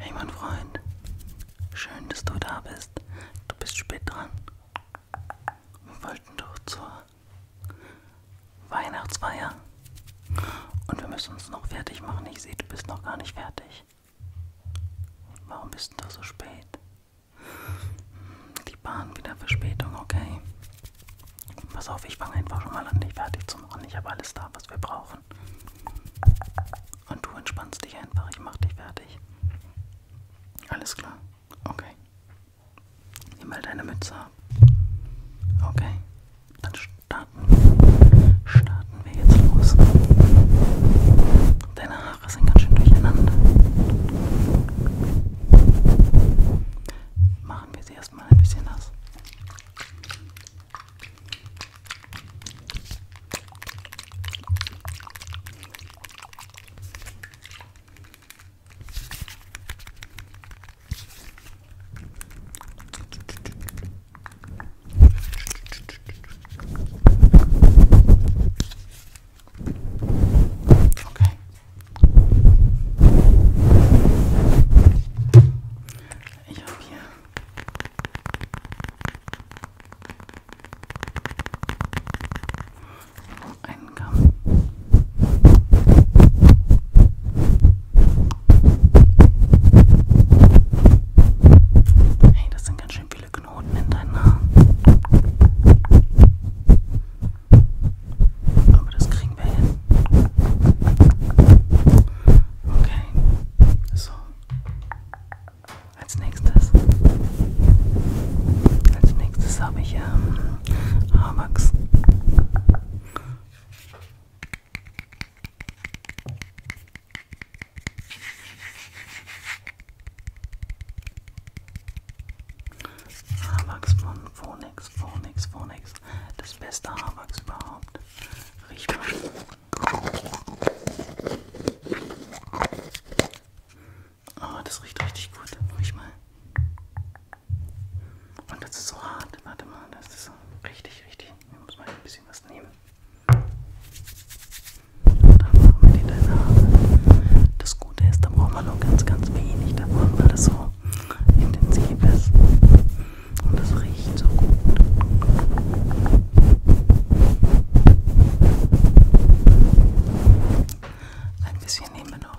Hey mein Freund, schön, dass du da bist. Du bist spät dran. Wir wollten doch zur Weihnachtsfeier. Und wir müssen uns noch fertig machen. Ich sehe, du bist noch gar nicht fertig. Warum bist du so spät? Die Bahn wieder Verspätung, okay. Pass auf, ich fange einfach schon mal an, dich fertig zu machen. Ich habe alles da, was wir brauchen. Und du entspannst dich einfach, ich mache dich fertig. Alles klar. Okay. Nimm mal deine Mütze ab. Okay. Dann starten wir. Starten wir jetzt los. Deine Haare sind ganz schön durcheinander machen wir sie erstmal ein bisschen nass. Okay. Ich habe hier einen Kamm. Hey, das sind ganz schön viele Knoten in deinen Haaren. Aber das kriegen wir hin. Okay. So. Als nächstes. Als nächstes habe ich ähm, Haarwachs. Haarwachs von Phonex, Phonex, Phonex. Das beste Haarwachs überhaupt. Riech mal. Oh, ah, das riecht richtig gut. Riech mal. Und das ist so hart. Warte mal, das ist so richtig, richtig. Ich muss mal ein bisschen was nehmen. Und dann machen wir die deine Haare. Das das Gute ist, da braucht man nur ganz, ganz wenig davon, weil das so intensiv ist. Und das riecht so gut. Ein bisschen nehmen wir noch.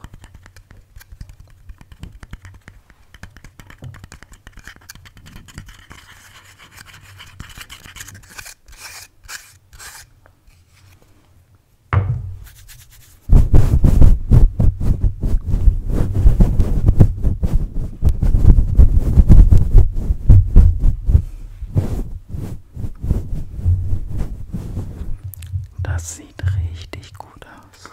Das sieht richtig gut aus.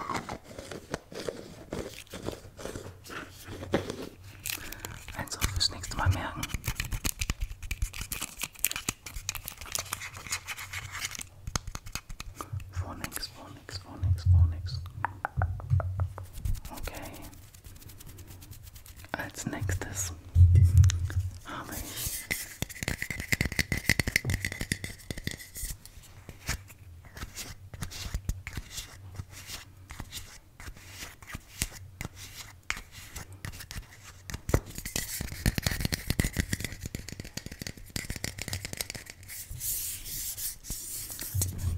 Also fürs nächste Mal merken. Phonics, phonics, phonics, phonics. Okay. Als nächstes habe ich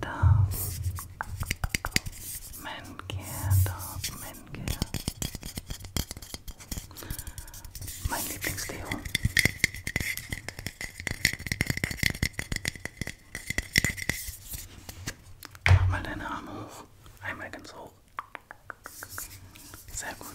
Da. Männchen, da, Männchen. Mein Lieblingsdeo. Mach mal deine Arme hoch. Einmal ganz hoch. Sehr gut.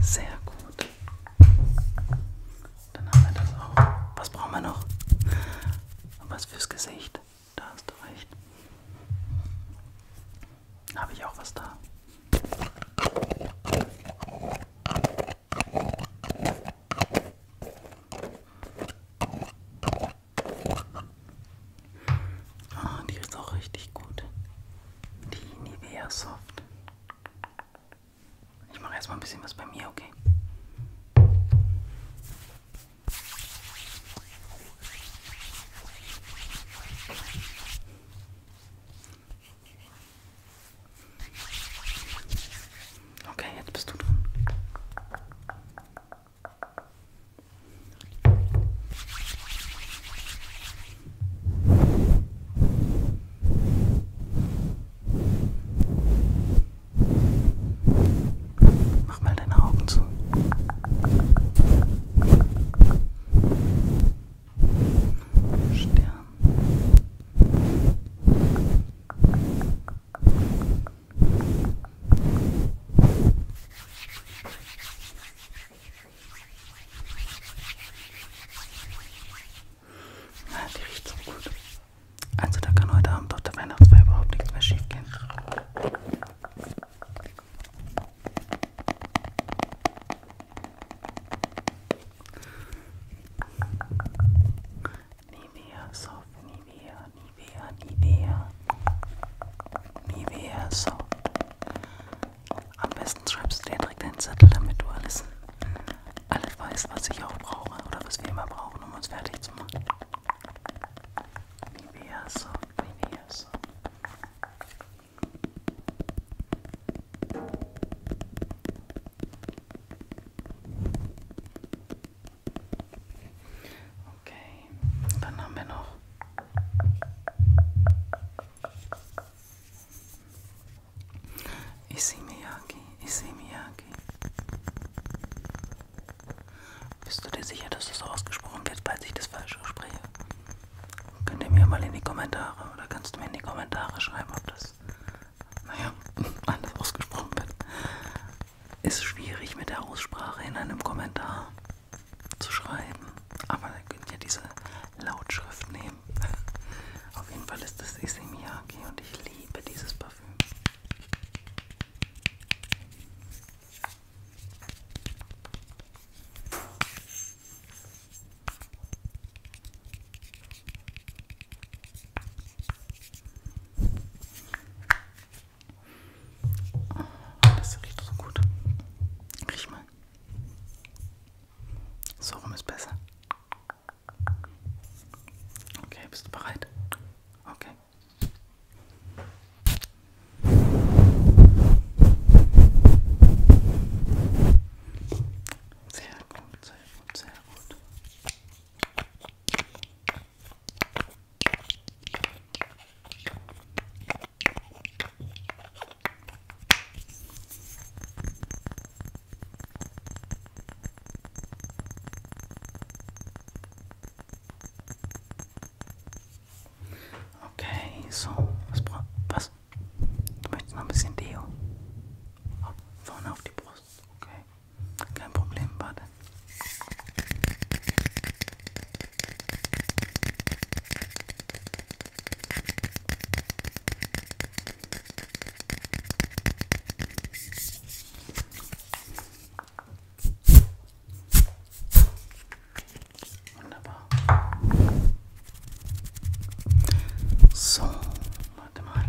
Sehr gut. Dann haben wir das auch. Was brauchen wir noch? Was fürs Gesicht? Da hast du recht. Habe ich auch was da? Ah, die ist auch richtig gut. Die Nivea Soft. Ich mache erstmal ein bisschen was bei mir, okay? Okay, jetzt bist du dran. Mach mal deine Augen zu. Stirn. Ja, die riecht so gut. Also da kann heute Abend auf der Weihnachtsfeier überhaupt nichts mehr schief gehen. Nivea Soft, Nivea, Nivea, Nivea. Nivea Soft. Am besten schreibst du dir direkt einen Zettel, damit du alles, alles weißt, was ich auch brauche oder was wir immer brauchen, um uns fertig zu machen. Nivea Soft, Nivea Soft. Okay, dann haben wir noch Isimiyaki, Isimiyaki. Bist du dir sicher, dass das ausgesprochen wird, falls ich das falsch ausspreche? Könnt ihr mir mal in die Kommentare oder kannst du mir in die Kommentare schreiben, ob das, naja, anders ausgesprochen wird. Ist schwierig mit der Aussprache in einem Kommentar zu schreiben, aber da könnt ihr diese Lautschrift nehmen. Auf jeden Fall ist das Issey Miyake und ich liebe dieses Parfüm. Ah, das riecht so gut. Riech mal. So rum ist besser. Okay, bist du bereit? Okay. Sehr gut, sehr gut, sehr gut. Okay, so, was brauchst was? Du möchtest noch ein bisschen Deo? Oh, vorne auf die Brust, okay. Kein Problem, warte. Wunderbar. So, warte mal.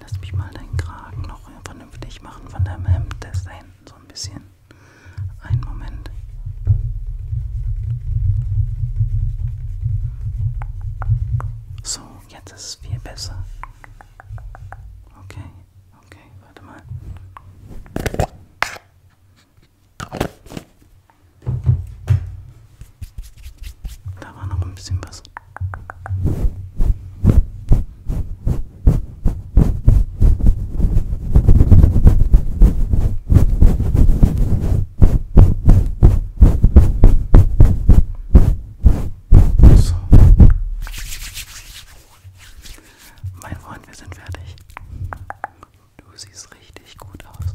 Lass mich mal deinen Kragen noch auch vernünftig machen von deinem Hemd, das da hinten so ein bisschen. Einen Moment. So, jetzt ist es viel besser. Okay, okay, warte mal. Da war noch ein bisschen was. So. Mein Freund, wir sind fertig. Du siehst richtig gut aus.